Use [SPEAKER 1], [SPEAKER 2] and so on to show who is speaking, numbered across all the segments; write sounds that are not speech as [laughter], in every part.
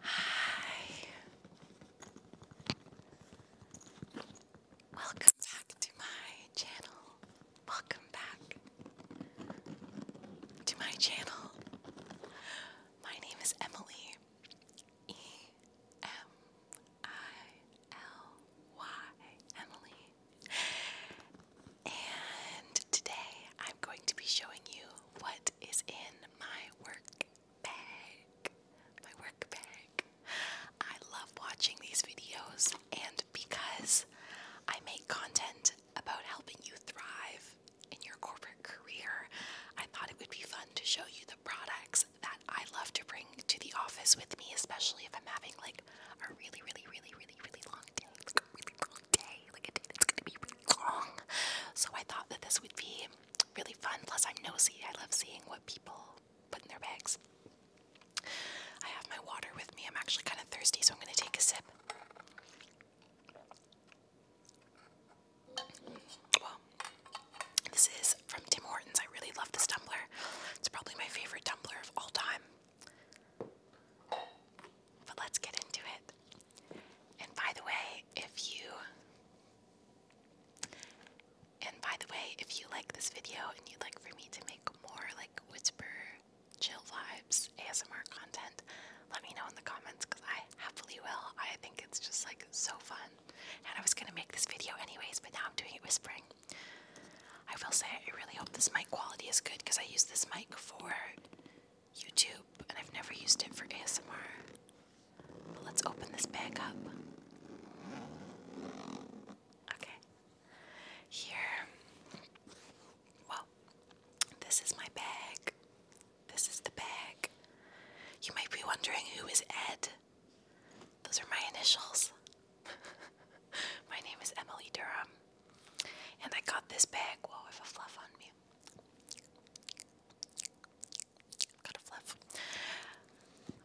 [SPEAKER 1] Hi. Welcome back to my channel. Welcome back to my channel. My name is Emily. E M I L Y. Emily. And today I'm going to be showing you what is in my work bag, my work bag. I love watching these videos, and because I make content about helping you thrive in your corporate career, I thought it would be fun to show you the products that I love to bring to the office with me, especially if I'm having like a really, really, really, really, really long day. It's a really long day, like a day that's gonna be really long. So I thought that this would be really fun. Plus, I'm nosy. I love seeing what people put in their bags. I have my water with me. I'm actually kind of thirsty, so I'm going to take a sip. Well, this is from Tim Hortons. I really love this tumbler. It's probably my favorite tumbler of all time. But let's get into it. And by the way, if you and by the way, if you like this video and you'd like for me to make more like whisper, chill vibes, ASMR content, let me know in the comments because I happily will. I think it's just like so fun. And I was gonna make this video anyways, but now I'm doing it whispering. I will say I really hope this mic quality is good because I use this mic for YouTube, and I've never used it for ASMR. But let's open this bag up. Okay. Here. Well, this is my bag. This is the bag. You might be wondering who is Ed? Those are my initials. [laughs] my name is Emily Durham. And I got this bag. Whoa, I have a fluff on me. Gotta fluff.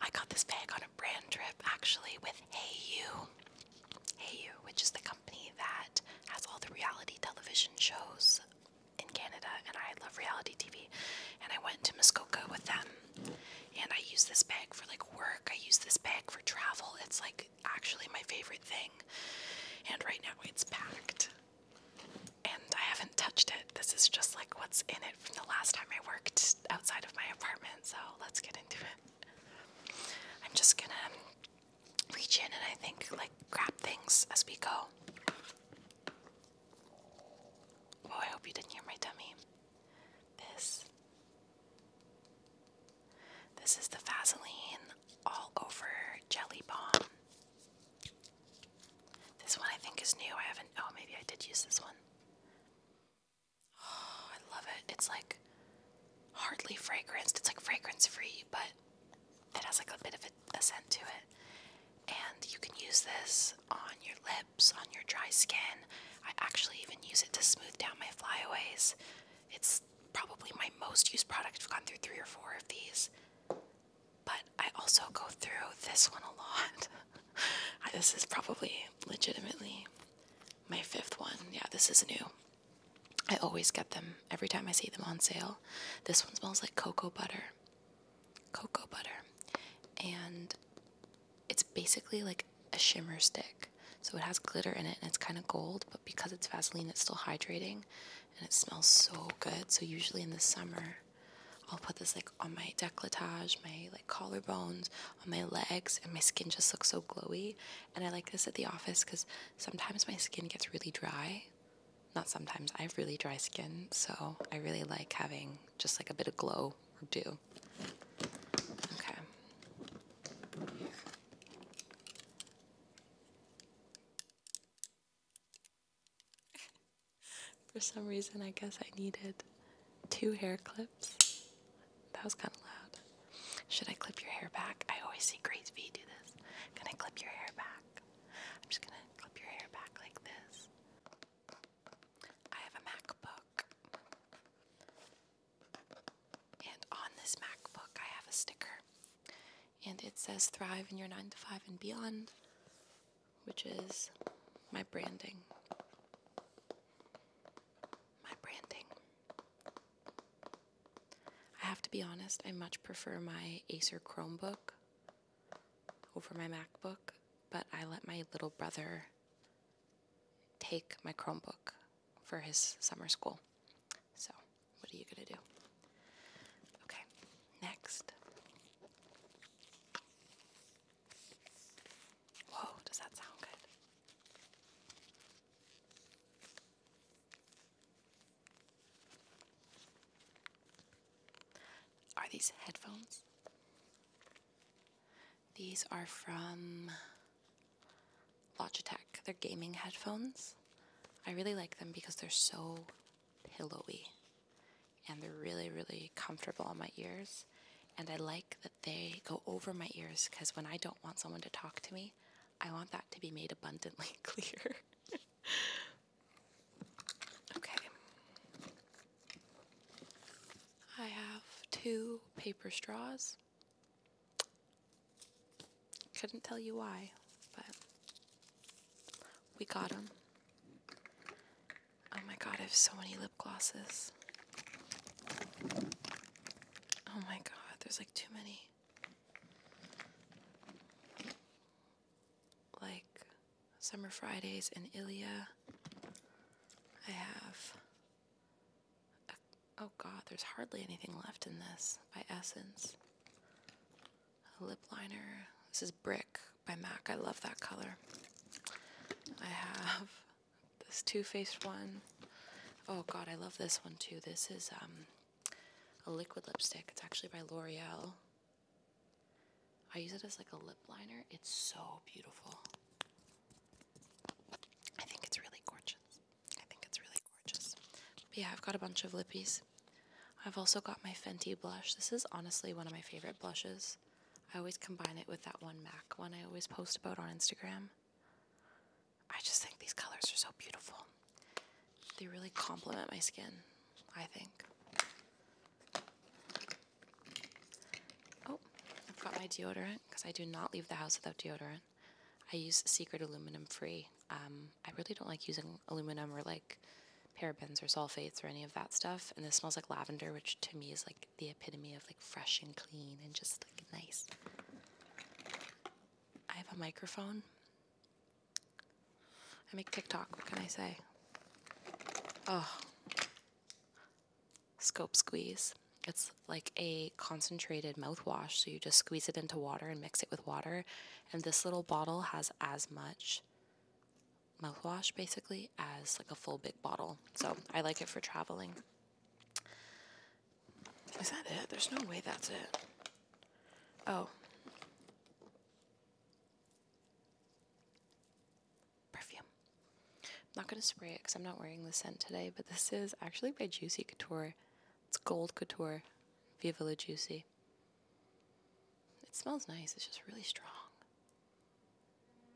[SPEAKER 1] I got this bag on a brand trip actually with Hey You. which is the company that has all the reality television shows in Canada, and I love reality TV. And I went to Muskoka with them, and I use this bag for like work. I use this bag for travel. It's like actually my favorite thing. And right now it's packed. And I haven't touched it. This is just like what's in it from the last time I worked outside of my apartment. So let's get into it. I'm just gonna reach in and I think like grab things as we go. Oh, I hope you didn't hear my tummy. This. This is the Vaseline All Over Jelly bomb. This one I think is new. I haven't. Oh, maybe I did use this one. Oh, I love it. It's like hardly fragranced. It's like fragrance free, but it has like a bit of a, a scent to it. And you can use this on your lips, on your dry skin. I actually even use it to smooth down my flyaways. It's probably my most used product. I've gone through three or four of these. But I also go through this one a lot. [laughs] this is probably legitimately my fifth one. Yeah, this is new. I always get them every time I see them on sale. This one smells like cocoa butter. Cocoa butter. And it's basically like a shimmer stick. So it has glitter in it and it's kind of gold, but because it's Vaseline, it's still hydrating and it smells so good. So, usually in the summer, I'll put this like on my décolletage, my like collarbones, on my legs, and my skin just looks so glowy. And I like this at the office because sometimes my skin gets really dry. Not sometimes, I have really dry skin, so I really like having just like a bit of glow or dew. Okay. [laughs] For some reason, I guess I needed two hair clips. That was kind of loud. Should I clip your hair back? I always see Grace V do this. Can I clip your hair back? I'm just gonna clip your hair back like this. I have a MacBook. And on this MacBook, I have a sticker. And it says Thrive in your 9 to 5 and beyond which is my branding. My branding. I have to be honest, I much prefer my Acer Chromebook over my MacBook, but I let my little brother take my Chromebook for his summer school. So, what are you going to do? Okay, next. Whoa, does that sound good? Are these headphones? These are from Logitech. They're gaming headphones. I really like them because they're so pillowy and they're really, really comfortable on my ears. And I like that they go over my ears because when I don't want someone to talk to me, I want that to be made abundantly [laughs] clear. okay. I have two paper straws. Couldn't tell you why, but we got them Oh my god, I have so many lip glosses. Oh my god, there's like too many. Like Summer Fridays and Ilia. I have. oh god, there's hardly anything left in this by Essence a lip liner. This is Brick by MAC. I love that color. I have this Too Faced one. Oh god, I love this one too. This is um, a liquid lipstick. It's actually by L'Oreal. I use it as like a lip liner. It's so beautiful. I think it's really gorgeous. I think it's really gorgeous. But yeah, I've got a bunch of lippies. I've also got my Fenty blush. This is honestly one of my favorite blushes. I always combine it with that one MAC one I always post about on Instagram. I just think these colors are so beautiful. They really complement my skin, I think. Oh, I've got my deodorant because I do not leave the house without deodorant. I use Secret Aluminum Free. Um, I really don't like using aluminum or like parabens or sulfates or any of that stuff. And this smells like lavender, which to me is like the epitome of like fresh and clean and just like nice. I have a microphone. I make TikTok, what can I say? Oh. Scope squeeze. It's like a concentrated mouthwash, so you just squeeze it into water and mix it with water. And this little bottle has as much mouthwash basically as like a full big bottle. So I like it for traveling. Is that it? There's no way that's it. Oh. Perfume. not going to spray it because I'm not wearing the scent today, but this is actually by Juicy Couture. It's Gold Couture Viva Juicy. It smells nice. It's just really strong.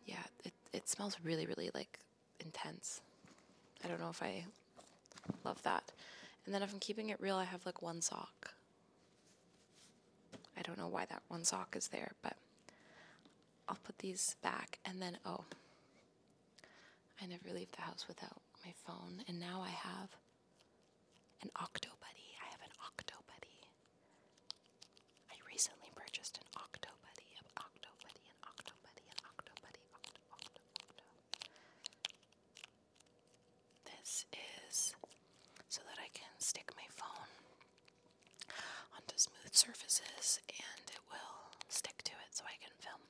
[SPEAKER 1] Yeah, it, it smells really, really like intense. I don't know if I love that. And then if I'm keeping it real, I have like one sock. I don't know why that one sock is there, but I'll put these back. And then, oh, I never leave the house without my phone. And now I have an Octo Buddy. I have an Octo Buddy. I recently purchased an Octo Buddy, an Octo Buddy, an Octo Buddy, an Octo Buddy, Octo, Octo, Octo. This is so that I can stick my phone onto smooth surfaces and it will stick to it so I can film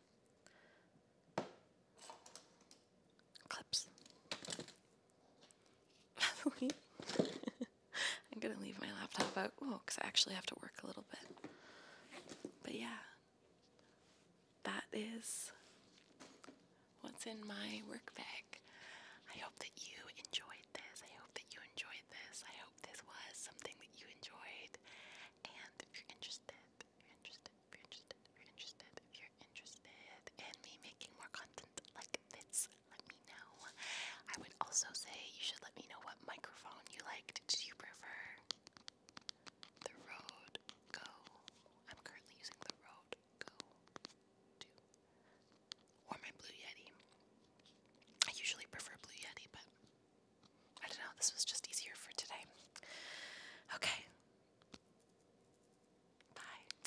[SPEAKER 1] clips. By [laughs] I'm gonna leave my laptop out. Oh, because I actually have to work a little bit. But yeah, that is what's in my work bag. I hope that you enjoyed this. I hope that you enjoyed this. I hope this was something that you enjoyed. And if you're interested, if you're interested, if you're interested, if you're interested, if you're interested in me making more content like this, let me know. I would also say you should let me know what microphone you liked. Do you prefer the Rode Go? I'm currently using the Rode Go 2 or my Blue Yeti. I usually prefer Blue Yeti, but I don't know, this was just easier for today. Okay. Bye.